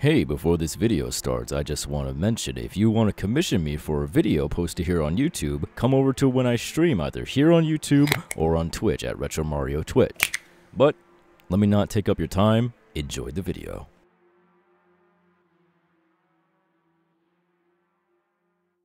Hey, before this video starts, I just want to mention if you want to commission me for a video posted here on YouTube, come over to when I stream either here on YouTube or on Twitch at Retro Mario Twitch. But let me not take up your time, enjoy the video.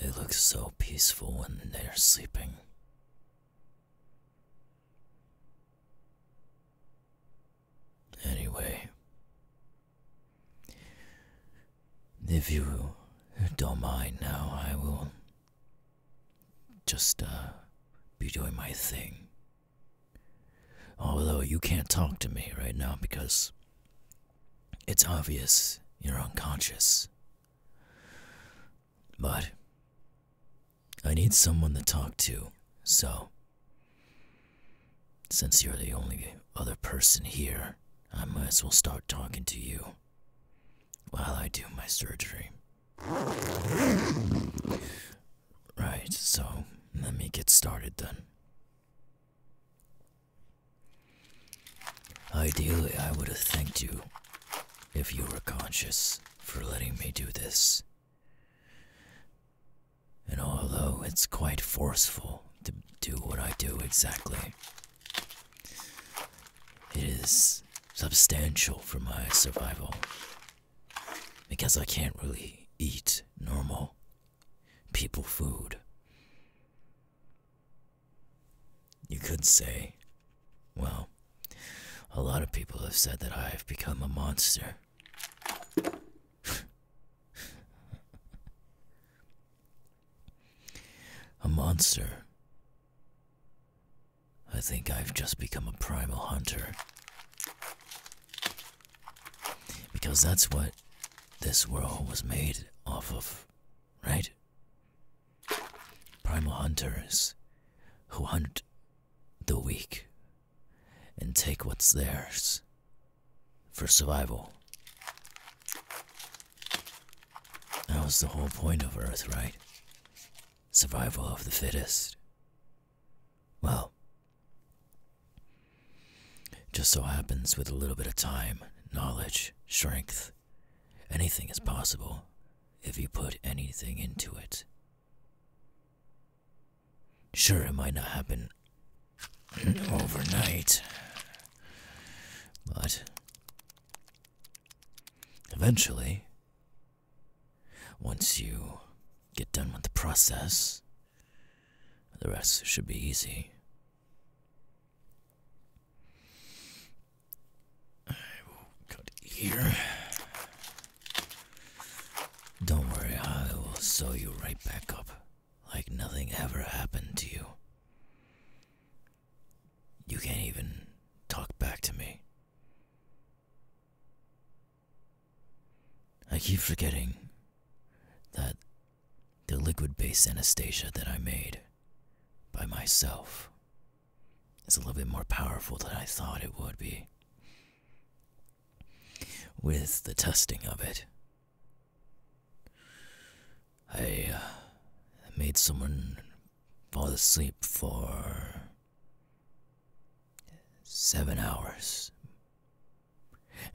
They look so peaceful when they're sleeping. Anyway, if you don't mind now, I will just uh, be doing my thing. Although you can't talk to me right now because it's obvious you're unconscious but I need someone to talk to, so since you're the only other person here, I might as well start talking to you while I do my surgery. Right, so let me get started then. Ideally, I would have thanked you if you were conscious for letting me do this. And although it's quite forceful to do what I do exactly, it is substantial for my survival. Because I can't really eat normal people food. You could say, well, a lot of people have said that I have become a monster. a monster. I think I've just become a primal hunter. Because that's what this world was made off of, right? Primal hunters who hunt the weak and take what's theirs for survival. That was the whole point of Earth, right? Survival of the fittest. Well, just so happens with a little bit of time, knowledge, strength, Anything is possible if you put anything into it. Sure, it might not happen overnight, but eventually, once you get done with the process, the rest should be easy. I will cut here. Don't worry, I will sew you right back up like nothing ever happened to you. You can't even talk back to me. I keep forgetting that the liquid based anesthesia that I made by myself is a little bit more powerful than I thought it would be. With the testing of it, I uh, made someone fall asleep for seven hours.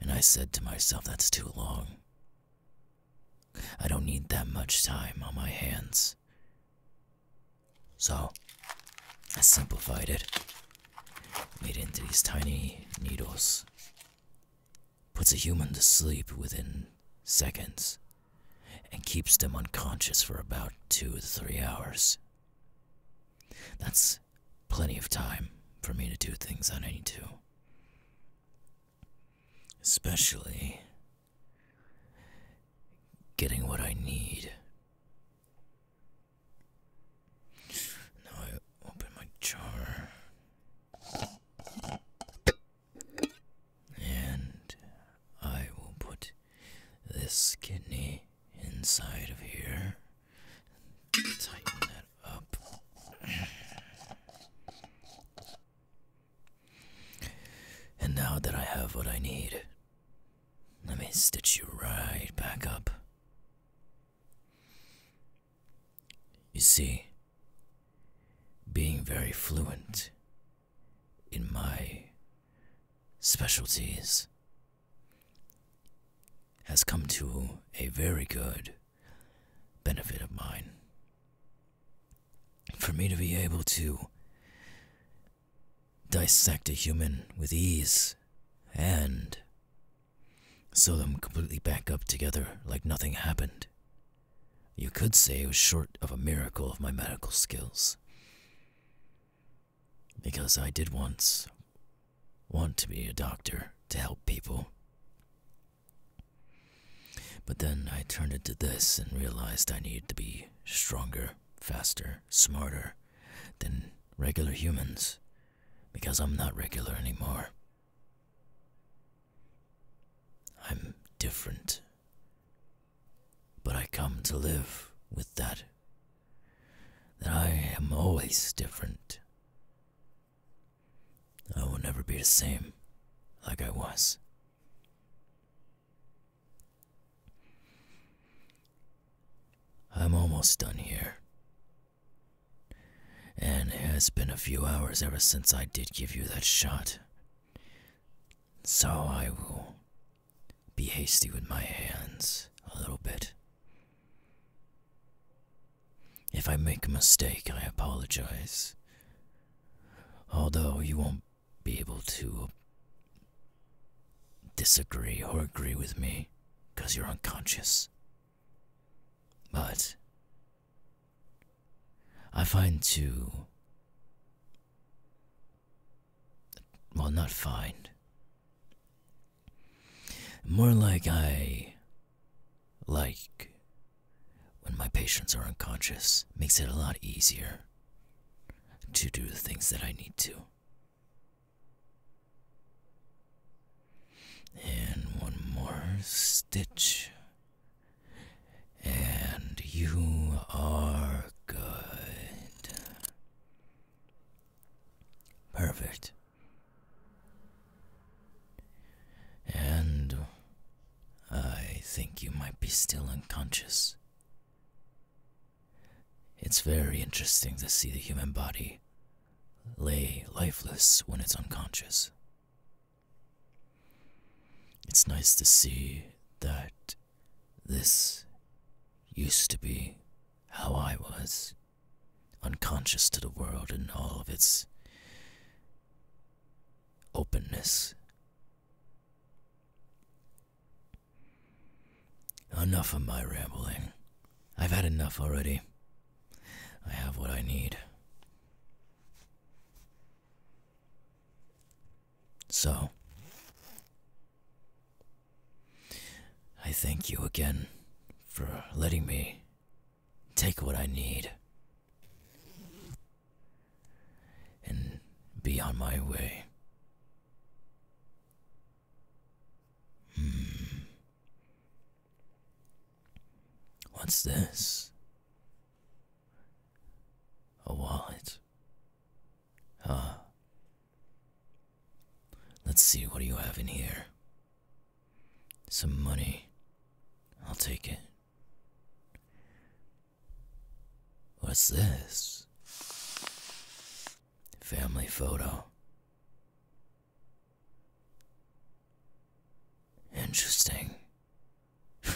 And I said to myself, that's too long. I don't need that much time on my hands. So, I simplified it, made into these tiny needles. Puts a human to sleep within seconds, and keeps them unconscious for about two to three hours. That's plenty of time for me to do things that I need to. Especially getting what I need. Now I open my jar and I will put this kidney inside of here. Tighten that up. And now that I have what I need, let me stitch you right back up. You see, being very fluent in my specialties has come to a very good benefit of mine for me to be able to dissect a human with ease and sew them completely back up together like nothing happened. You could say it was short of a miracle of my medical skills. Because I did once want to be a doctor to help people. But then I turned into this and realized I needed to be stronger, faster, smarter than regular humans because I'm not regular anymore. I'm different. But I come to live with that. That I am always different. I will never be the same like I was. I'm almost done here. And it has been a few hours ever since I did give you that shot. So I will be hasty with my hands a little bit. If I make a mistake, I apologize. Although you won't be able to disagree or agree with me because you're unconscious. But I find to. Well, not find. More like I like, when my patients are unconscious, makes it a lot easier to do the things that I need to. And one more stitch. And you are good. Perfect. And I think you might be still unconscious. It's very interesting to see the human body lay lifeless when it's unconscious. It's nice to see that this used to be how I was unconscious to the world and all of its openness. Enough of my rambling. I've had enough already. I have what I need. So, I thank you again for letting me take what I need, and be on my way. Hmm. What's this? A wallet. Huh. Let's see what do you have in here. Some money. I'll take it. What's this? Family photo. Interesting.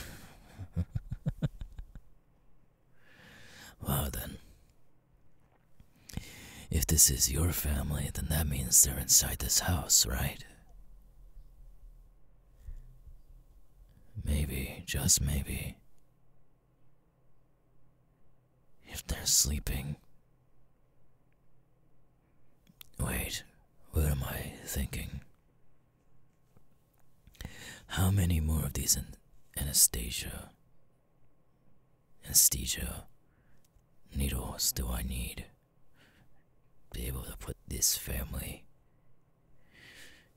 well, then. If this is your family, then that means they're inside this house, right? Maybe, just maybe, if they're sleeping. Wait, what am I thinking? How many more of these an Anastasia? Anesthesia needles do I need? be able to put this family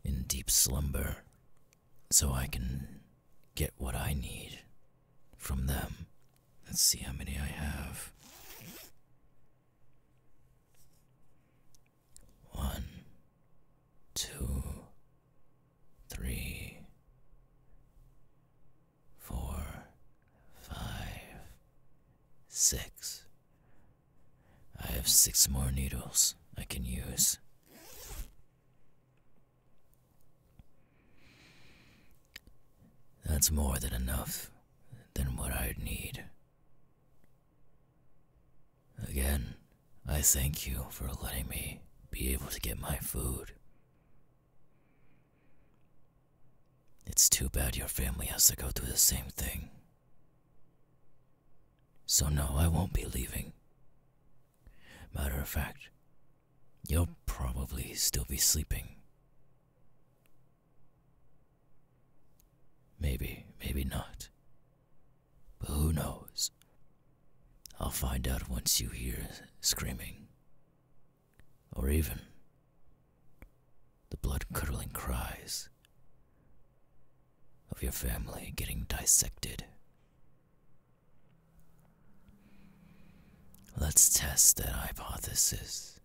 in deep slumber so I can get what I need from them. Let's see how many I have. One, two, three, four, five, six. I have six more needles I can use. That's more than enough than what I'd need. Again, I thank you for letting me be able to get my food. It's too bad your family has to go through the same thing. So, no, I won't be leaving. Matter of fact, you'll probably still be sleeping. Maybe, maybe not. But who knows? I'll find out once you hear screaming or even the blood curdling cries of your family getting dissected. Let's test that hypothesis.